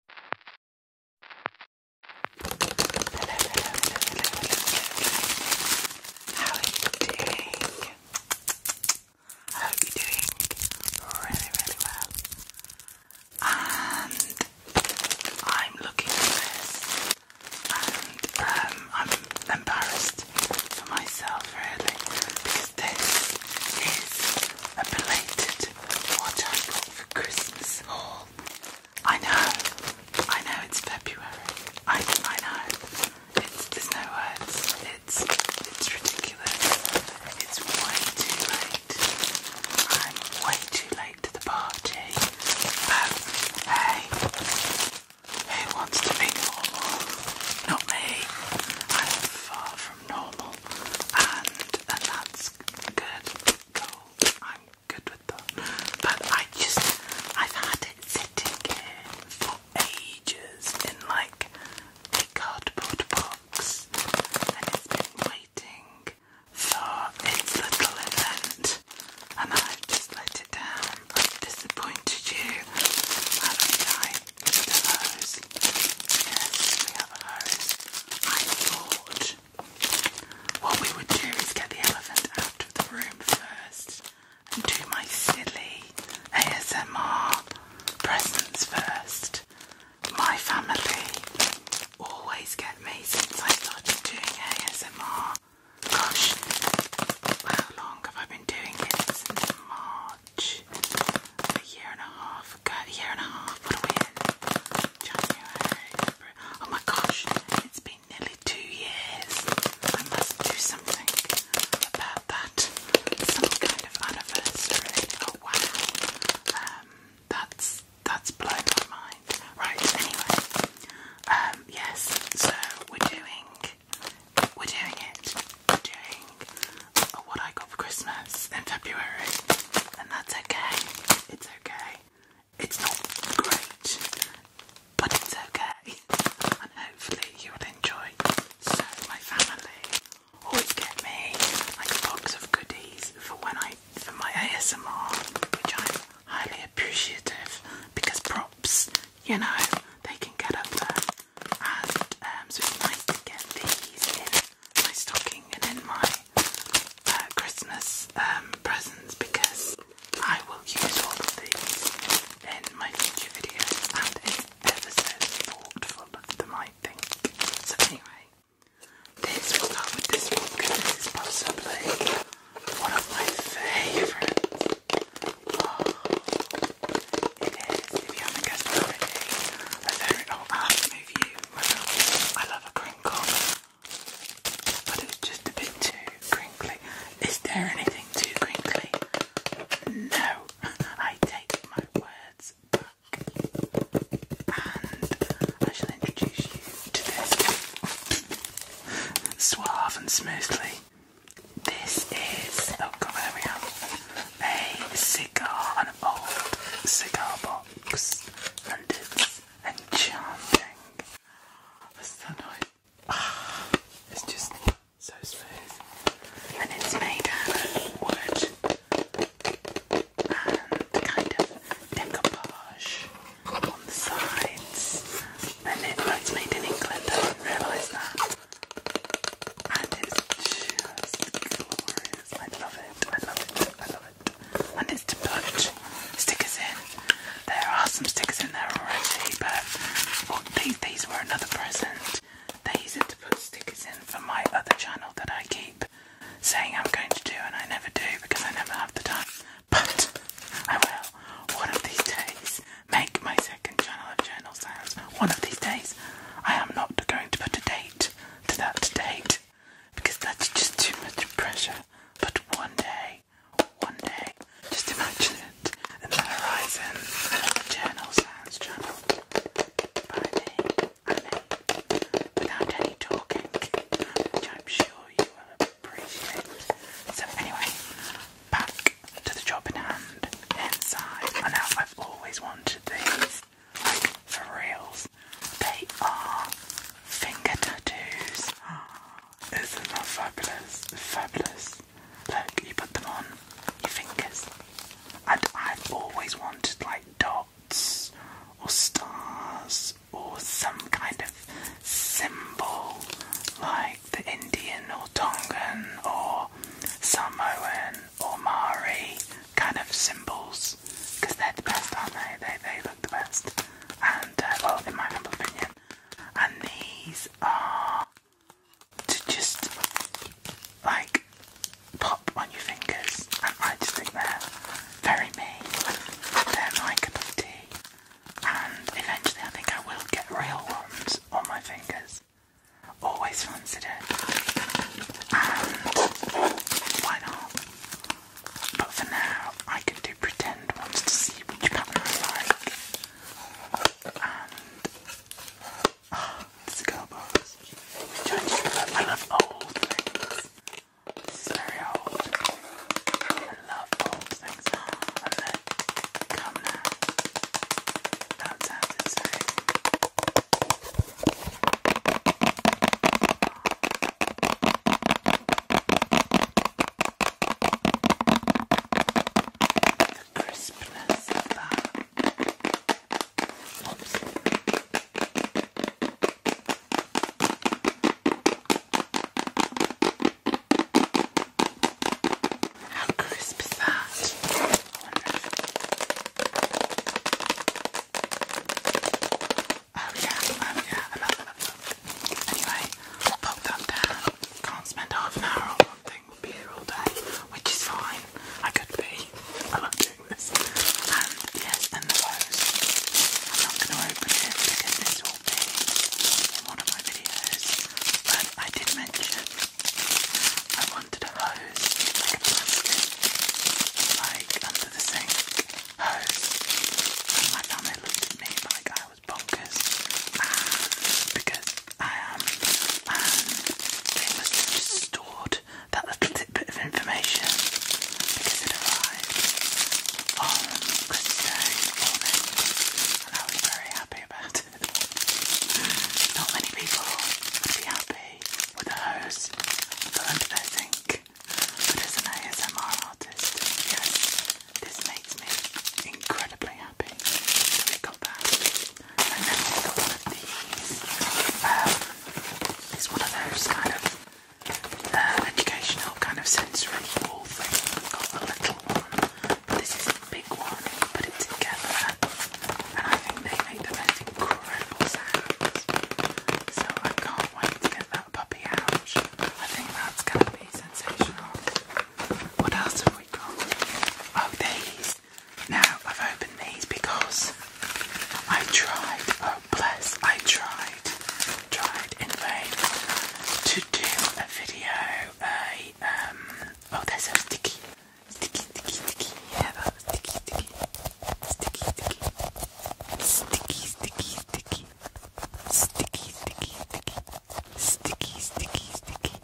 How are you doing? I hope you're doing really, really well. And um, I'm looking at this, and um, I'm embarrassed for myself, really, because this is a belated what I got for Christmas I know, I know it's February. I I know. It's there's no words. It's it's ridiculous. It's way too late. I'm way too late to the party. But um, hey, who wants to be normal? Not me. I'm far from normal, and that's good. I'm good with that. But I just I've had it sitting here for ages in like a cardboard box, and it's been waiting for its little event, and I've just let it down. I've disappointed you, haven't I, Mr. Rose? Yes, we have a hose. I thought what we would do is get the elephant out of the room first and do my silly ASMR presents first. My family always get me since I started doing ASMR. Gosh, how long have I been doing it? March. A year and a half ago. A year and a half, what are we in? Oh my gosh, it's been nearly two years. I must do something about that. Some kind of anniversary. Oh wow. Um, that's that's blown my mind. Right. Anyway. Um. Yes. So we're doing. We're doing it. We're doing what I Christmas in February, and that's okay. It's okay. It's not great, but it's okay. And hopefully, you will enjoy. So, my family always get me like a box of goodies for when I for my ASMR, which I'm highly appreciative because props, you know, they can get up there. And um, so it's nice to get these in my stocking and in my uh, Christmas um, presents because I will use all of these in my future videos and it's ever so thoughtful of them I think. So anyway, this will go with this one because this is possibly one of my favourites. Oh, it is, if you haven't guessed already, a very old oh, I love a crinkle, but it's just a bit too crinkly. Is there anything too crinkly? No, I take my words back. And I shall introduce you to this suave and smoothly. This is, oh god, there we are, a cigar, an old cigar box rocks and it's enchanting. What's ah, it's just so smooth. And it's made of wood and kind of decoupage on the sides. And it, well, made in England, I not realise that. And it's just glorious. I love it. I love it. I love it. And it's to put stickers in. There are some stickers in there already, but oh, these these were another present. These are to put stickers in for my other channel that I keep saying I'm going to do, and I never do because I never have the time. But I will one of these days make my second channel of journal sounds. One of these days, I am not going to put a date to that date because that's just too much pressure. But one day, one day, just imagine it in the horizon. Journal Sounds Channel by me without any talking, I'm sure you will appreciate. So, anyway, back to the job in hand inside. I know I've always wanted these. Like, for reals. They are finger tattoos. Isn't that fabulous? Fabulous. Look, you put them on your fingers. And I've always wanted, like, dots or stars or some kind of symbol like the Indian or Tongan or Samoan or Maori kind of symbols because they're the best, aren't they? They, they look the best. And, uh, well, in my humble opinion. And these are to just like pop on your fingers. I just think they're very me. They're my cup of tea. And eventually, I think I will get real ones on my fingers. Always fun incident. And why not? But for now, I can do pretend ones to see which pattern I like. And ah, I love. old things. very old. I love old things. and ah, look, come now. That sounded so the crispness of that. Oops. How crisp is that? Oh yeah, um, yeah, I love, I love, love. Anyway, pop that down. Can't spend half an hour one thing. will be here all day, which is fine. I could be. I love doing this. And yes, and the rose. I'm not going to open it because this will be in one of my videos. But I did mention I wanted a rose like under the sink hose. And my family looked at me like I was bonkers because I am, and it was just stored that little tidbit of information because it arrived on Christmas morning, and I was very happy about it. Not many people would be happy with a hose. But under their sink. But as an ASMR artist, yes, this makes me incredibly happy. we got that. And then we got these. Um, it's one of those kind of uh, educational kind of sensory wall things. we got the little one, but this is the big one. You put it together, and I think they make the most so I can't wait to get that puppy out. I think that's going to be sensational. What else have we got? Oh, these. Now, I've opened these because I tried, oh bless, I tried, tried in vain to do a video, a, um, oh they're so sticky sticky, sticky, sticky, yeah, sticky, sticky, sticky, sticky, sticky, sticky, sticky, sticky, sticky, sticky, sticky, sticky, sticky.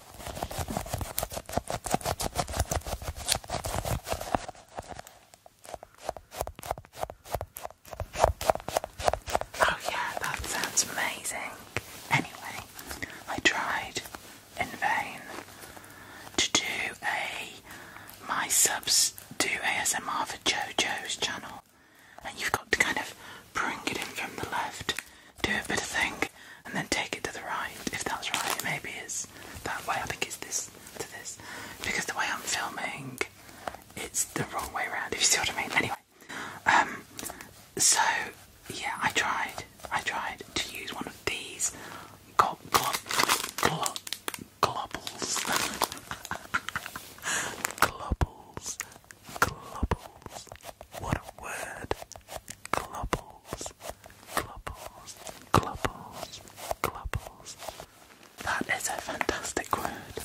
Oh yeah, that sounds amazing. Anyway, I tried in vain to do a my subs do ASMR for JoJo's channel, and you've got to kind of bring it in from the left, do a bit of thing, and then take it to the right. If that's right, maybe it's that way. I think it's this to this because the way I'm filming, it's the wrong way around. If you see what I mean. Anyway, um, so yeah, I tried. I tried to use one of these Go glop glop globbles globbles globbles what a word globbles globbles globbles globbles that is a fantastic word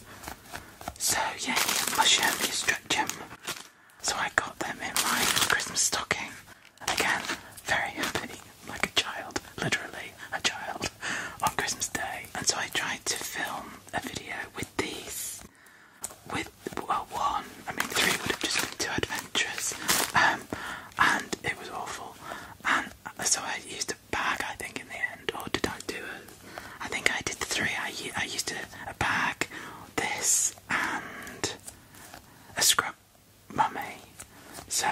so yeah mushroom you stretch them so I got them in my Christmas stocking Again, very happy, like a child, literally a child, on Christmas Day. And so I tried to film a video with these, with well, one, I mean, three would have just been too adventurous, um, and it was awful. And so I used a bag, I think, in the end, or did I do it? I think I did the three. I, I used a, bag, this, and a scrub mummy. So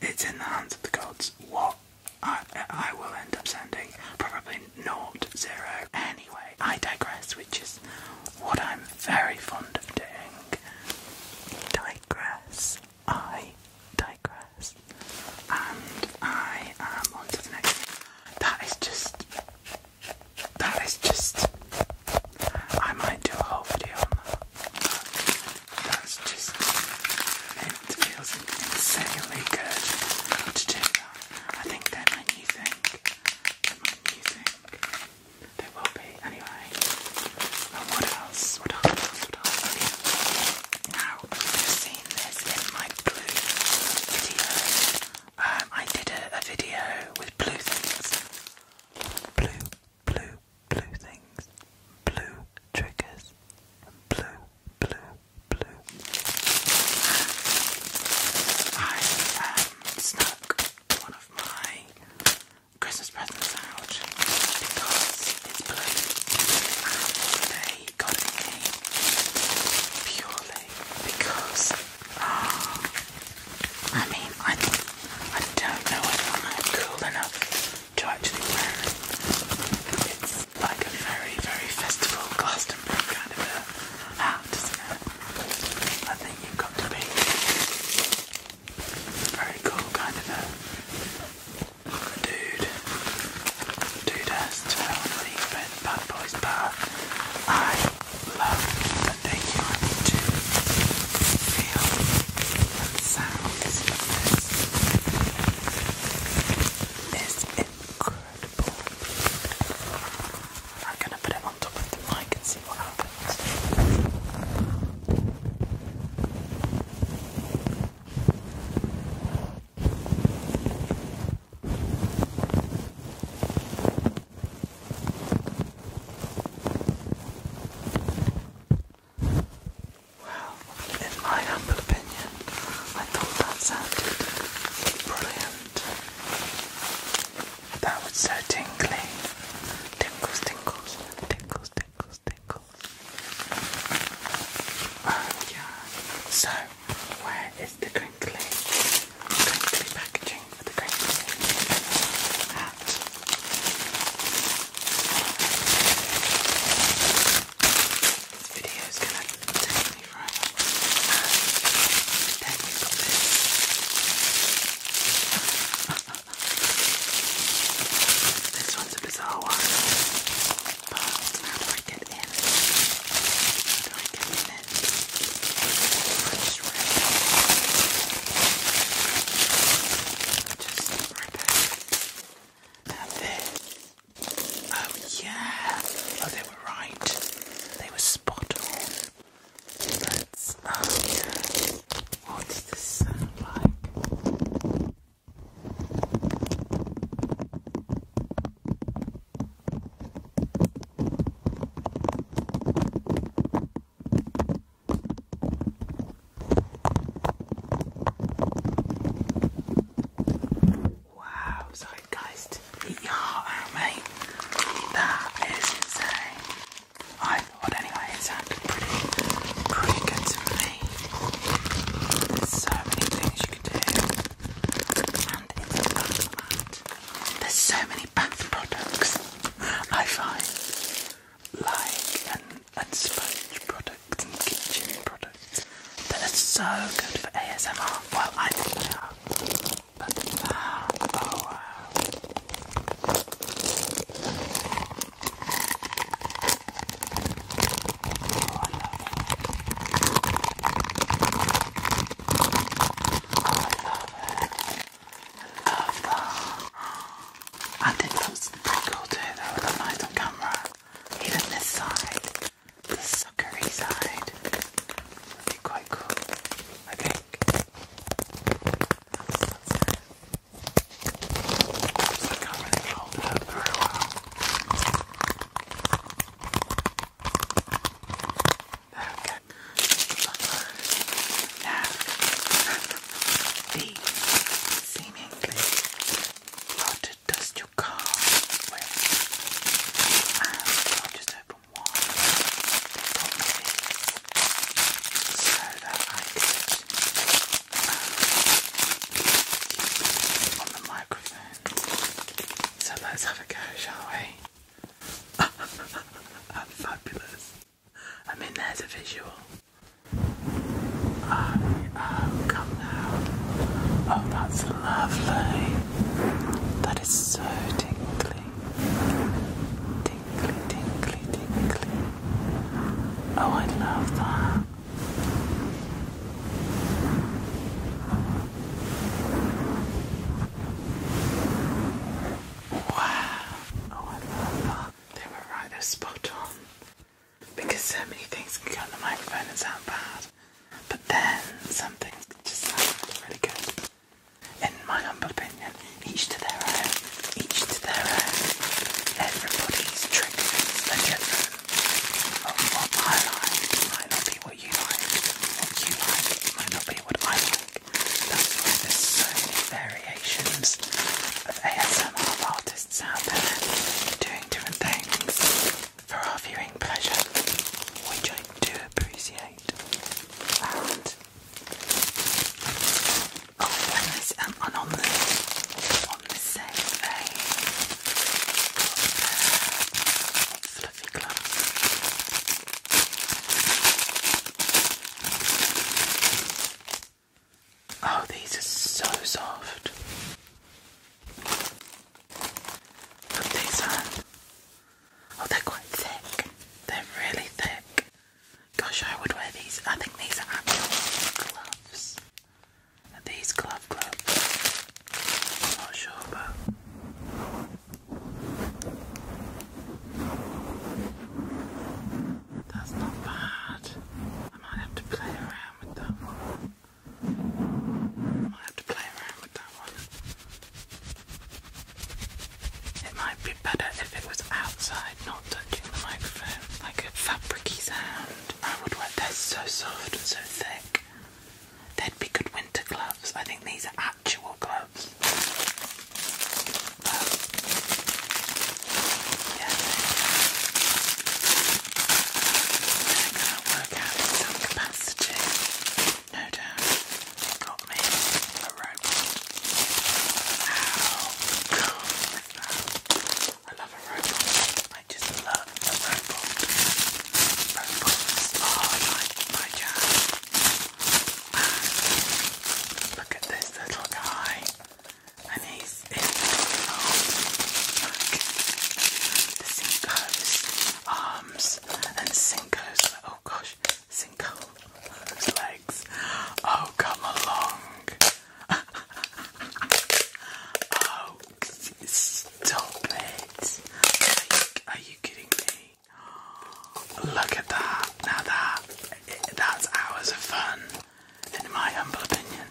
it's in the hands of the gods. What I, I will end up sending probably not zero. Anyway, I digress, which is what I'm very fond of doing. Digress. I digress. And I am on the next That is just. That is just. I might do a whole video on that. That's just it feels insanely good to do that. I think they're my new will be anyway. And what else? What else? What else? Now you've seen this in my blue video. Um, I did a video with blue things. Blue blue, blue things, blue triggers, blue, blue, blue. I um, snuck one of my Christmas presents out because it's blue, and they got it purely because. Oh, I mean, I, I don't know whether I'm cool enough to actually wear it. It's like a very, very festival Glastonbury kind of a hat, is it? I think you've got to be very cool kind of a dude. Dude-ass to leave it, bad boys bar. I love the thing you want feel from sounds of this. incredible. I'm gonna put it on top of the mic and see what happens. Well, in my humble opinion, I thought that sounded brilliant. That was so tingly. Tinkles, tinkles, tinkles, tinkles, tinkles. Oh yeah. So, where is the crinkly, crinkly packaging? Ah. This video is gonna take me forever. Ah. this. one's a bizarre one. how do I get in? How do I get in just right there. And this. Oh, yeah. Oh, they were right. They were spot on. Let's. Oh, yeah. What's this sound like? Wow, sorry guys, eat your heart out, mate. That is insane. I thought anyway, it sounded pretty, pretty to me. There's so many things you can do, and it's a bath There's so many bath products. I find like and, and sponge products and kitchen products that are so good for ASMR. Well, I think they are, oh wow. Oh, I Oh, I I think that was pretty cool too, that with a light on camera. Even this side, the suckery side, would be quite cool, I think. Okay. Now, the seemingly dust you car I'll just open one so I could um, on the microphone. So let's have a go, shall we? fabulous. I mean, there's a visual. Ah, oh, come now. Oh, that's lovely. That is so tinkly. Tinkly, tinkly, tinkly. Oh, I love that. Wow. Oh, I love that. They were right, they're spot on. Because so many things can go on the microphone and sound bad. But then some just sound really good. In my humble opinion, each to their own. Each to their own. Everybody's triggers are oh, what I like might not be what you like. What you like might not be what I like. That's why there's so many variations of ASMR artists out there doing different things for our viewing pleasure, which I do appreciate. And oh, and, this, and on the on the same day, fluffy gloves. Oh, these are so soft. Put these on. Oh, they're quite thick. They're really thick. Gosh, I would wear these. I think these are actual gloves. these glove gloves? I'm not sure, but that's not bad. I might have to play around with that one. I might have to play around with that one. It might be better if it was outside, not touching the microphone, like a fabricy sound. I would wear. They're so soft and so thick. They'd be good winter gloves. I think these are actual gloves. They're going to work out in some capacity. No doubt. They got me a robot. How cool is that? I love a robot. I just love a robot. Robots are like my jam. Look at this little guy. And he's in the Cinco's arms and Cinco's, oh gosh, Cinco's legs. Oh, come along. oh, stop it. are you kidding me? Look at that. Now that, that's hours of fun, in my humble opinion.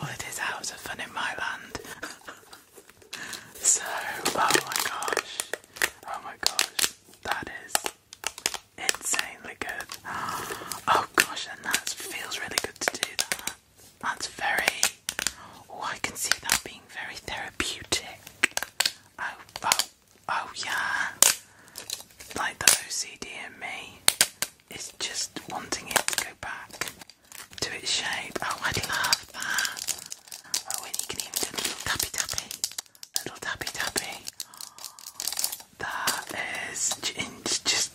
Well, it is hours of fun in my land. so, oh my gosh. Oh my gosh. That is insanely good. Oh gosh, and that feels really good to do That's very. Oh, I can see that being very therapeutic. oh Oh yeah, like the OCD in me is just wanting it to go back to its shape. Oh, I'd love that. Oh, and you can even do little tappy tappy, little tappy tappy. That is just genius,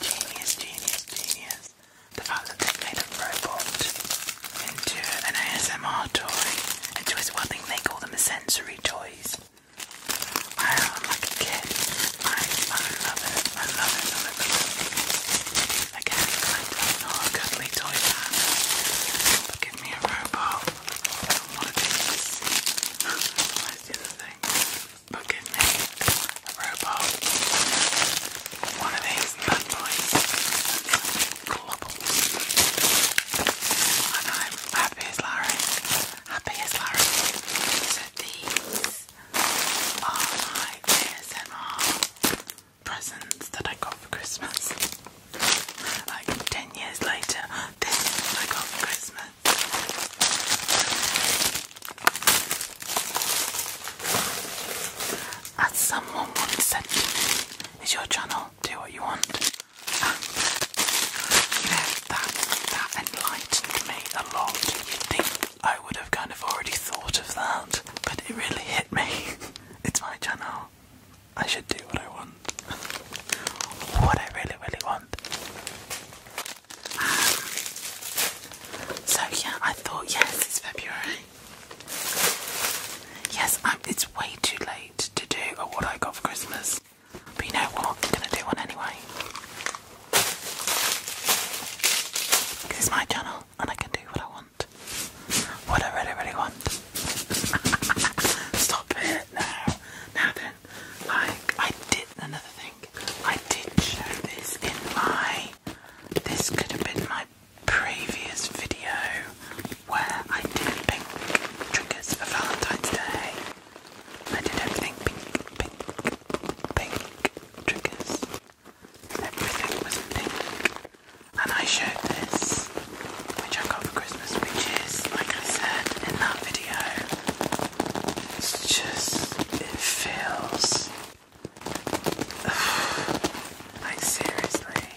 genius, genius, genius. The fact that they made a robot into an ASMR toy toys, well, I they call them sensory toys. I am like a kid. I, I love it. I love it. I love it. I'm not a cuddly toy give me a robot. I don't want to do this. the thing. give me a robot. One of these bad boys. And I'm happy as Larry. Happy Larry. these are my ASMR presents that I got for Christmas. Like 10 years later, this is what I got for Christmas. As someone once said to is your channel do what you want. And, ah. that, that enlightened me a lot. you think I would have kind of already thought of that, but it really hit me. it's my channel. I should do what I want. what I really, really want. Ah. so, yeah, I thought, yes, it's February. Yes, I'm, it's way too late to do or what I got for Christmas. But you know what? I'm gonna do one anyway. it's my channel and I can do what I want. What I really, really want. Stop it now. Now then, like, I did another thing. I did show this in my. This could have been my previous video where I did pink triggers for Valentine's Day. I did everything pink, pink, pink triggers. Everything was pink. And I showed this, which I got for Christmas, which is, like I said in that video, it's just, it feels. like seriously,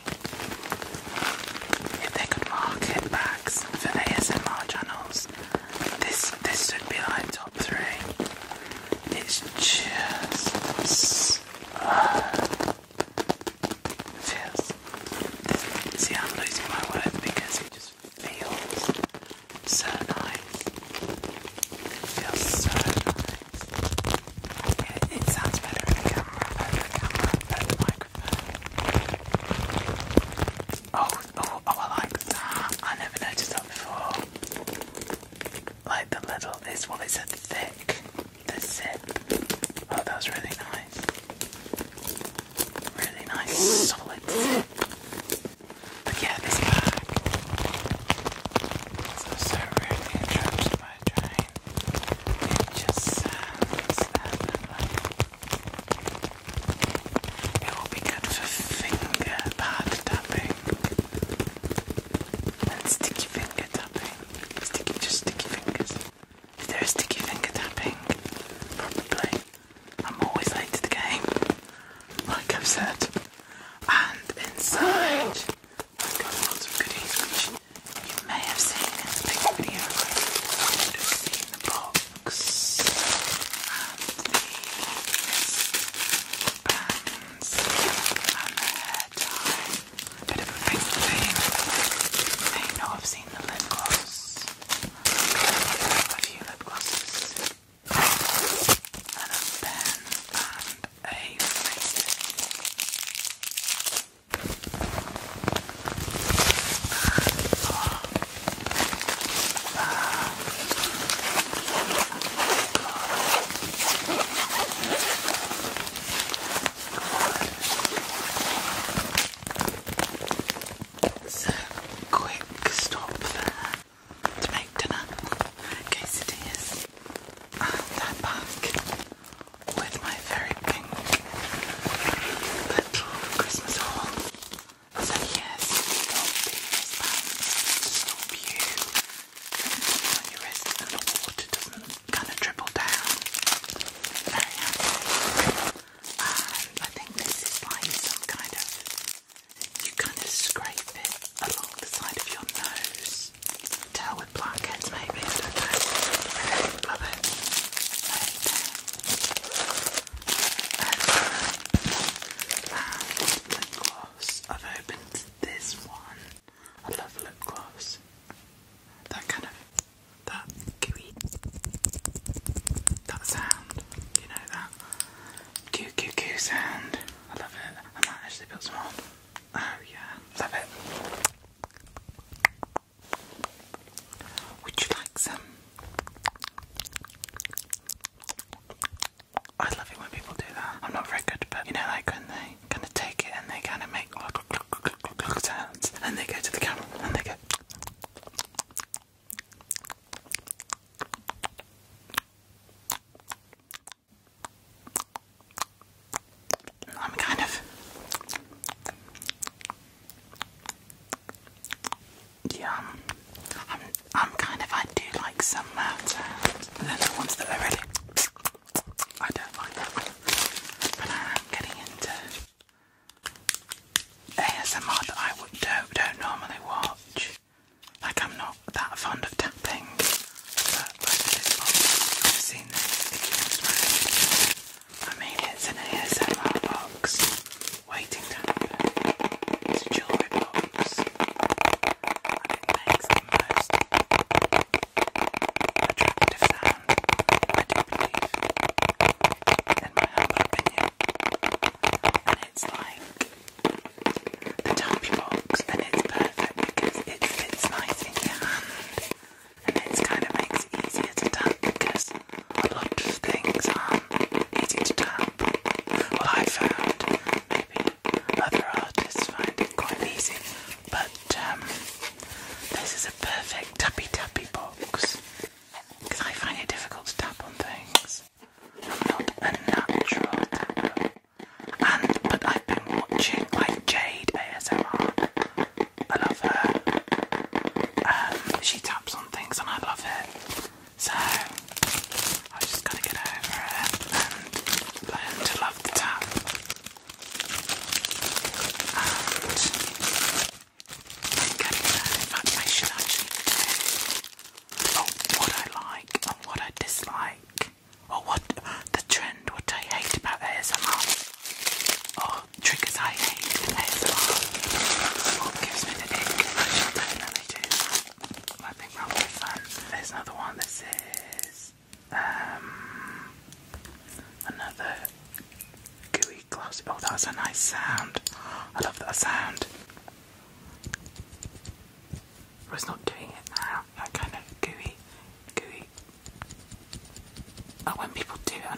if they could market bags for ASMR channels, this this should be like top three. It's just feels. see, I'm losing my words because it just feels so nice. It feels so nice. It, it sounds better in camera, better in camera, better in Oh, oh, oh, I like that. I never noticed that before. Like the little, it's what well, a thick, the zip. Oh, that was really nice. Really nice, solid zip. But this bag. So, so really interested it will be good for finger tapping and sticky finger tapping. Sticky, just sticky fingers. Is there sticky finger tapping? Probably. I'm always late to the game, like I've said. And inside, I've got lots of goodies which you may have seen in the big video between the box and the bands and the hair tie. bit of a big thing. You may not have seen the lip gloss. A few lip glosses. And a pen and a face. So, quick stop there to make dinner. Quesadillas. And they're back with my very pink little Christmas haul. I yes, do you. Put on the water doesn't kind of dribble down. Very happy. Um, I think this is like some kind of, you kind of scrape it along the side of your nose tell with blankets maybe, I don't know. Okay, love it. Okay. And lip gloss. I've opened this one. I love lip gloss. That kind of that gooey that sound, you know that goo goo sound. I love it. I might actually build some more. Oh yeah, love it. Would you like some? I love it when people do that. I'm not very good, but you know, like when they kind of take it and they kind of make oh, sounds, and they go to the camera and they go. I'm kind of. Yeah, I'm, I'm kind of. I do like some uh, the ones that are really. I don't like that one. But I am getting into ASMR that I would, don't, don't normally watch. Like, I'm not that fond of tapping. I mean, it's an ASMR box waiting to happen. It's a jewelry box, I can make the most attractive sound. I do believe, in my humble opinion, and it's like. The dumpy box and it's perfect because it fits nice in your hand and it kind of makes it easier to tap because a lot of things aren't easy to tap. Well, I found maybe other artists find it quite easy, but um, this is a perfect tappy tappy box because I find it difficult to tap on things. I'm not a natural tap, and but I've been watching like Jade ASMR. I love her. Um, she taps on things and I love it. So I just gotta get over it and learn to love the tap. And getting there. In actually oh, what I like and what I dislike or oh, what the trend, what I hate about ASMR, or oh, triggers I hate in ASMR, what gives me the ick, I shall I think that'll be fun. There's another one, this is um, another gooey glossy, oh that's a nice sound, I love that sound. But it's not doing it now, that kind of gooey, gooey but oh, when people do it on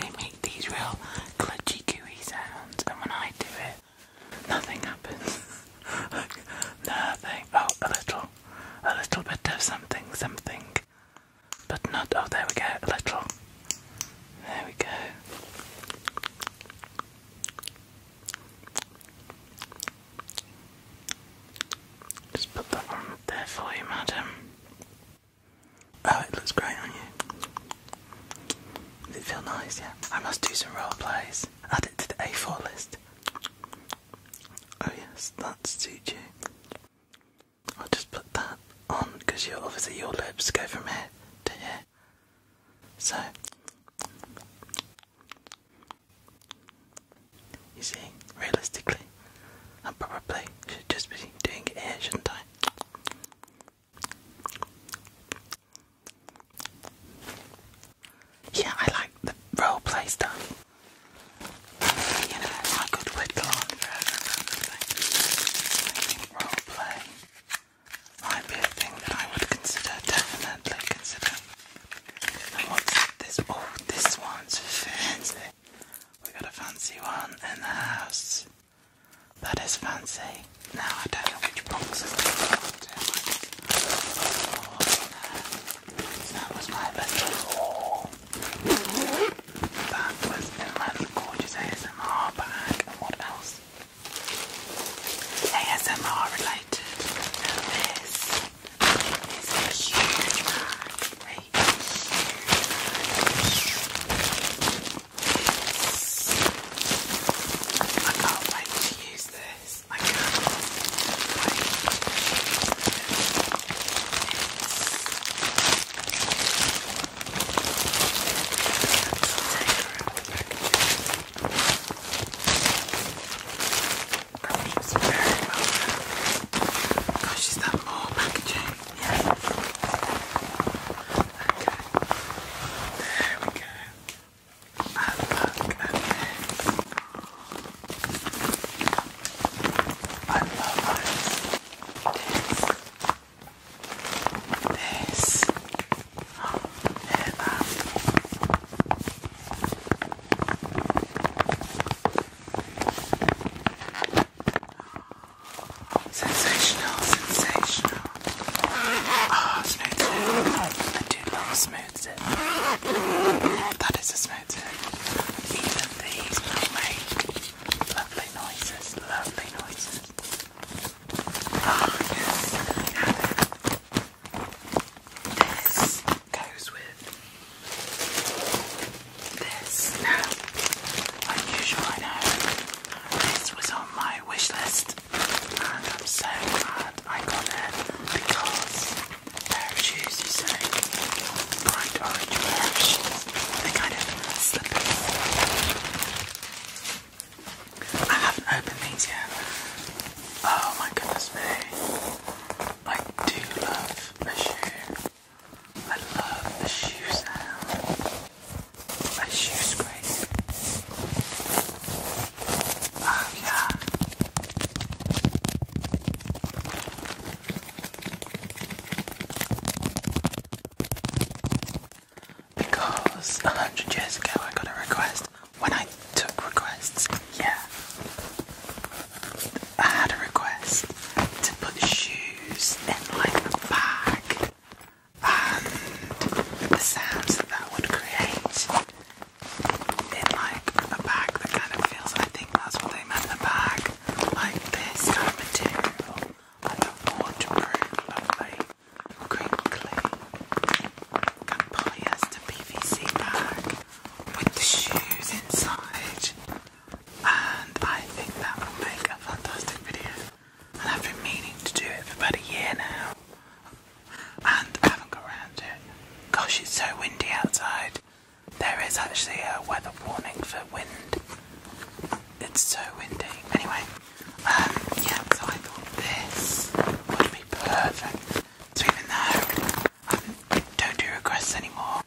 they make these real glitchy gooey sounds, and when I do it, nothing happens. nothing. Oh, a little. A little bit of something, something. But not. Oh, there we go. A little. There we go. Just put that on there for you, madam. Oh, it looks great on you. Does it feel nice? Yeah. I must do some role plays. Add it to the A4 list. Oh yes, that suits you. I'll just put that on because you are obviously your lips go from here to here. So you see, realistically, I probably should just be doing it here, shouldn't I? Yeah, I like the role play stuff. You know, I could whittle on I think roleplay might be a thing that I would consider, definitely consider what's this? Oh, this one's fancy. We got a fancy one in the house. That is fancy. Now I don't know which box is That was my best haul. That was Inland Gorgeous ASMR bag. And what else? ASMR related. This is a huge bag, a huge bag. I can't wait to use this. I can't wait to use this. Let's take her out the back. She's very well done. Oh, she's done more packaging. Yeah. Okay. There we go. And look I love this. This. Oh, hear that. Um. Sensational, sensational. oh, smooth tip. I do love smooth That is a smooth Even these make lovely noises, lovely noises. Ah, yes. This goes with this. Now, unusual, I know. This was on my wish list, and I'm so glad I got it because pair of shoes, you say, bright orange They're kind of slippers. I haven't opened these yet. Oh my goodness me. I do love a shoe. I love the shoe sound. A shoe scrape. Oh yeah. Because a hundred years ago I got a request when I took requests. Yeah. I had a request to put shoes in like a bag and the sounds that that would create in like a bag that kind of feels, I think that's what they meant, a bag like this kind of material, like a waterproof, lovely, crinkly, kind of polyester PVC bag with the shoes inside. And I think that will make a fantastic video. And I've been meaning to do it for about a year now. And I haven't got around it. Gosh, it's so windy outside. There is actually a weather warning for wind. It's so windy. Anyway, um, yeah, I thought this would be perfect. So even though I don't do requests anymore.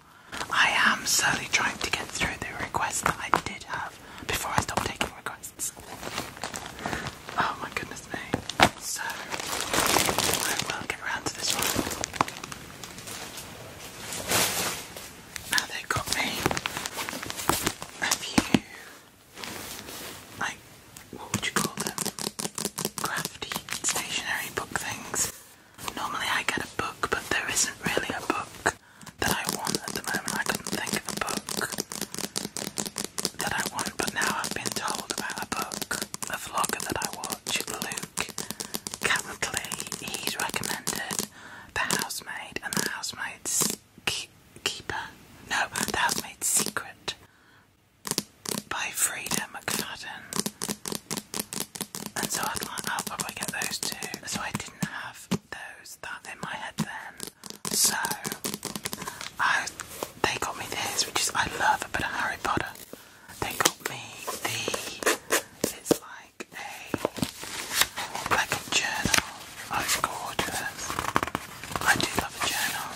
I am slowly trying to get through the requests that I did have before I stopped taking requests. Oh my goodness me. So, I will get around to this one. Now they got me a few, like, what would you call them? crafty stationery book things. Normally I get a book, but there isn't really a book that I want at the moment. I couldn't think of a book that I want, but now I've been told about a book, a vlogger that I watch, Luke Catley. He's recommended The Housemaid and The Housemaid's Keeper. No, The Housemaid's Secret by Frida McFadden. And so I was probably get those two. So I didn't have those that in my head then. So I they got me this, which is I love a bit of Harry Potter. They got me the it's like a like a journal. Oh gorgeous. I do love a journal.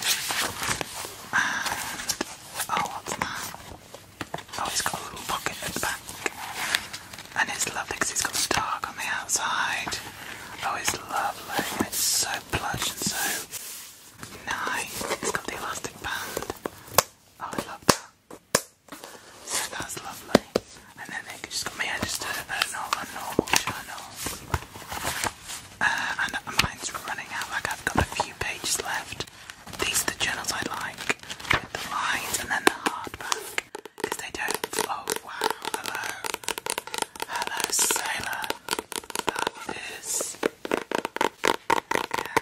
And oh Oh, it's got a little pocket at the back. And it's lovely because it's got a dark on the outside. Oh, it's lovely. It's so plush and so nice. It's got the elastic band. Oh, I love that. So that's lovely. And then they just got me registered at a normal channel. Uh, and mine's running out, like I've got a few pages left. These are the journals I like the lines and then the hardback they don't. Oh wow! Hello, hello, sailor. That is. Yeah.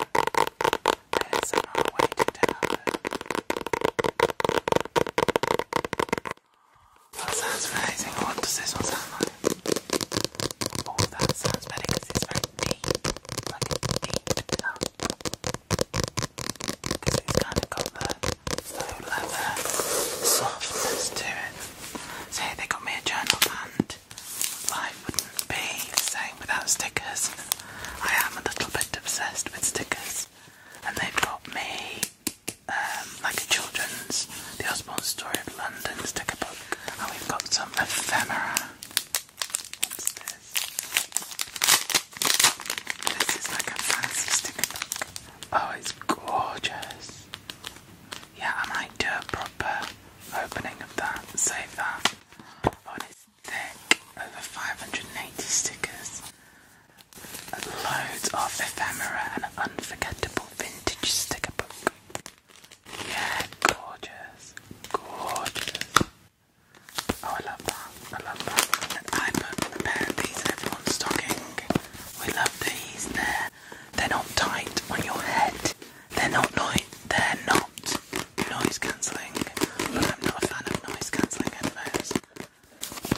There's a lot way to tell That amazing. What does this one sound like? Oh, that sounds better because it's very deep. Like a Because it's kind of got the low leather softness to it. Say they got me a journal and life wouldn't be the same without stickers. I am a little bit obsessed with stickers. And they've got me um, like a children's The Osborne Story of London sticker book. And we've got some ephemera this? is like a fancy sticker book. Oh, it's gorgeous. Yeah, I might do a proper opening of that. Save that. it's thick. Over 580 stickers. Loads of ephemera and unforgettable vintage sticker book. Yeah, gorgeous. Gorgeous. Oh, I love that. I love that. I put a pair of these in everyone's stocking. We love these. They're, they're not tight on your head. They're not noise. They're not noise cancelling. But I'm not a fan of noise cancelling headphones.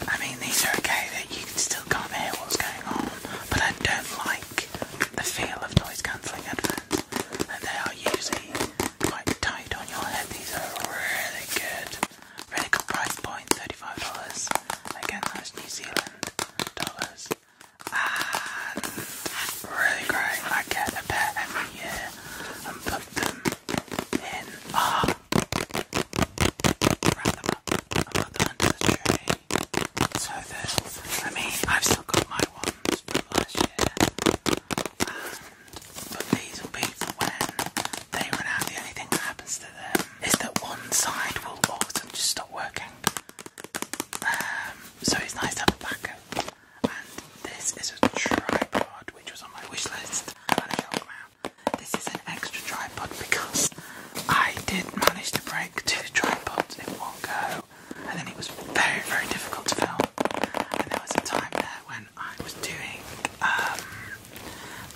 I mean, these are okay. That you still can't hear what's going on. But I don't like the feel of noise cancelling headphones, and they are usually quite tight on your head. These are really good, really good price point, thirty-five dollars. Again, that's New Zealand dollars. And really great. I get a pair every year and put them in. Ah, wrap them up put them under the tree. So that I mean, I've still got my one but these will be when they run out. The only thing that happens to them is that one side will all just stop working. Um, so it's nice to have a backup. And this is a tripod which was on my wish list when I got around. This is an extra tripod because I did manage to break two tripods in one go and then it was very, very difficult to film. And there was a time there when I was doing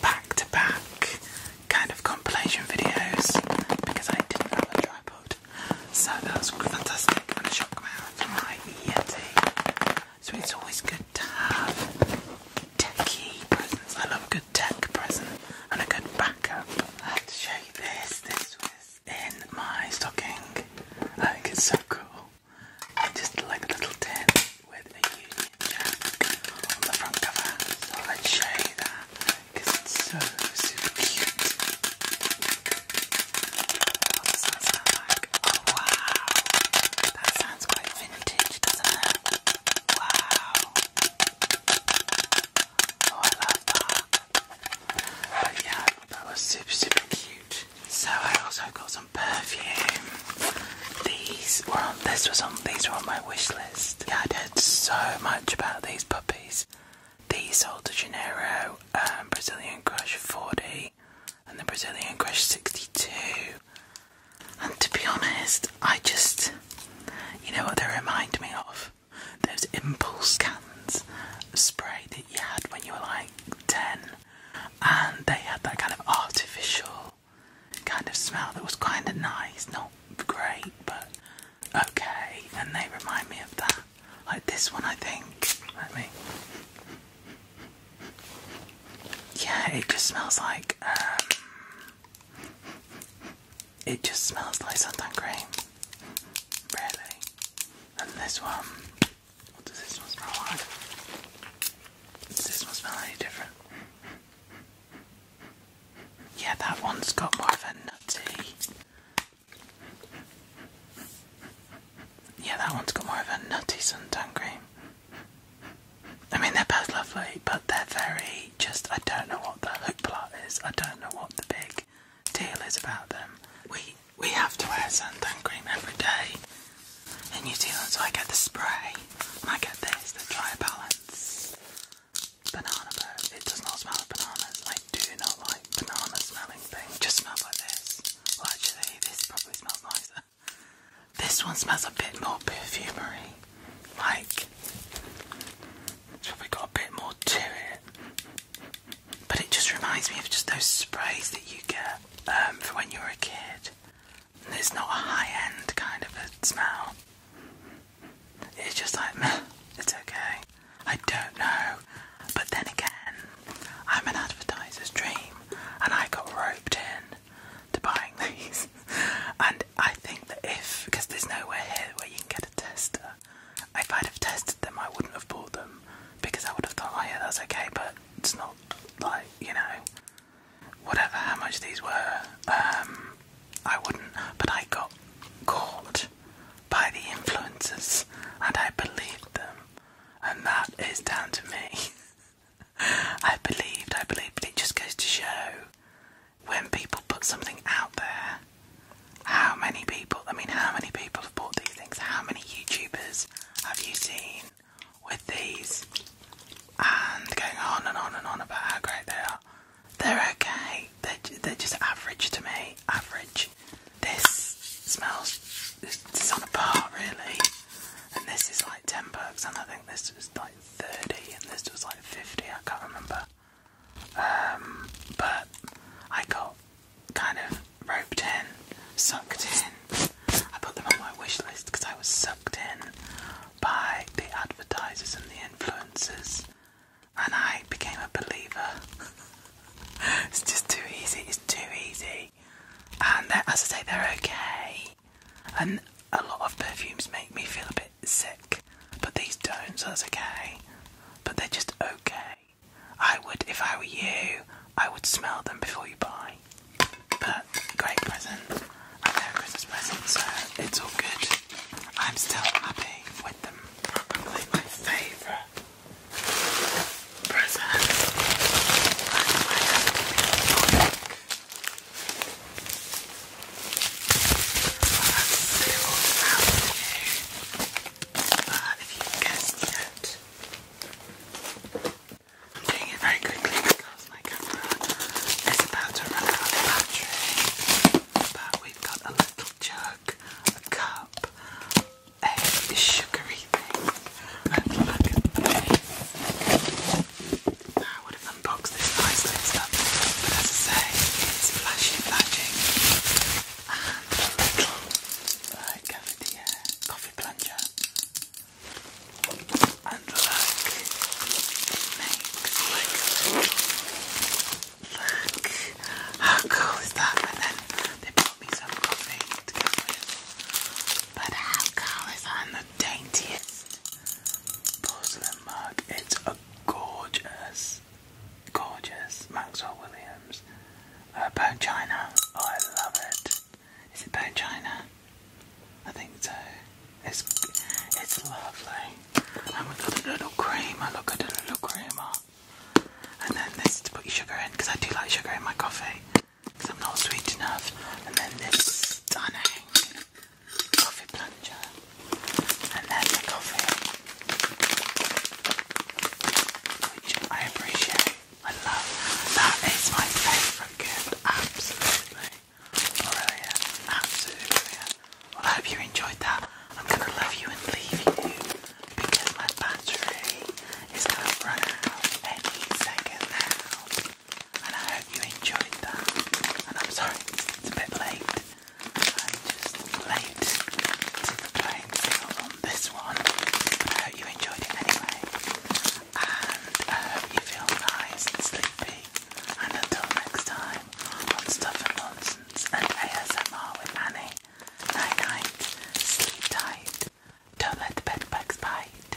back to back kind of compilation videos because I didn't have a tripod. So that was fantastic, and I shot come out of my Yeti. So it's always good to have techie presents. I love a good tech present and a good backup. I have to show you this. This was in my stocking. I think it's so cool. just like a little tin with a Union Jack on the front cover. So let show you that because it's so super cute. Oh wow! That sounds quite vintage, doesn't it? Wow! Oh, I love that. But yeah, that was super, super cute. So I also got some perfume. These were on. This was on. These were on my wish list. Yeah, I heard so much about these puppies. The Sol de Janeiro um, Brazilian Crush 40 and the Brazilian Crush 62. And to be honest, I just, you know what they remind me of? those impulse cans spray that you had when you were like 10, and they had that kind of artificial kind of smell that was kind of nice, not great, but okay. And they remind me of that, like this one, I think. Let me, yeah, it just smells like um, it just smells like suntan cream. Really. And this one. What does this one smell like? Does this one smell any different? Yeah, that one's got more of a nutty. Yeah, that one's got more of a nutty suntan cream. I mean, they're both lovely, but they're very just. I don't know what the hoopla is. I don't know what the big big deal is about them. We we have to wear suntan cream every day in New Zealand, so I get the spray and I get this, the dry balance banana burp. It does not smell like bananas. I do not like banana smelling things. just smell like this. actually this probably smells nicer. This one smells a bit more perfumery. Like it's probably got a bit more to it. But it just reminds me of just those sprays that you get um, for when you are a kid. it's not a high end kind of a smell. It's just like, it's okay. I don't know. But then again, I'm an advertiser's dream and I got roped in to buying these. and I think that if, because there's nowhere here where you can get a tester, if I'd have tested them, I wouldn't have bought them because I would have thought, oh yeah, that's okay, but it's not like you know, whatever how much these were. Um, I wouldn't, but I got caught by the influences, and I believed them, and that is down to me. I believed, I believed, but it just goes to show when people put something out there, how many people, I mean, how many people have bought these things? How many YouTubers have you seen with these? And going on and on and on about how great they are. They're okay, they're, they're just average to me. Average. This smells, it's on a par really. And this is like 10 bucks, and I think this was like 30, and this was like 50, I can't remember. Um, but I got kind of roped in, sucked in. I put them on my wish list because I was sucked in by the advertisers and the influencers, and I became a believer. it's just too easy, it's too easy. And as I say, they're okay. And a lot of perfumes make me feel a bit sick, but these don't, so that's okay. But they're just okay. I would, if I were you, I would smell them before you buy. But great present, and they Christmas presents, so it's all good. I'm still happy with them. Probably my favourite present uh, if you guessed it, I'm doing it very quickly because my camera is about to run out of battery. But we've got a little jug, a cup, a sugary thing, and look at this. I would have unboxed this nice little stuff, but as I say, it's flashy, flashy and a little uh, cafetiere, coffee plunger. And look, how cool is that? And then they brought me some coffee But how cool is that? And the daintiest porcelain mug, it's gorgeous gorgeous. Maxwell Williams. About uh, China. Oh, I love it. it. Is about China? I think so. It's it's lovely. And we've got a little creamer. Look at a little creamer. And then this to put your sugar in because I do like sugar in my coffee because I'm not sweet enough. And then this stunning coffee plunger and then the coffee, which I appreciate. I love that. my favourite gift. Absolutely brilliant. Absolutely Well, I hope you enjoyed that. I'm gonna love you and leave you because my battery is gonna run out any second now. And I hope you enjoyed that. And I'm sorry it's a bit late. I'm just late to the playing field on this one, I hope you enjoyed it anyway. And I uh, hope you feel nice and sleepy. And until next time on Stuff and Nonsense and ASMR with Annie, night night, sleep tight, don't let the bed bugs bite.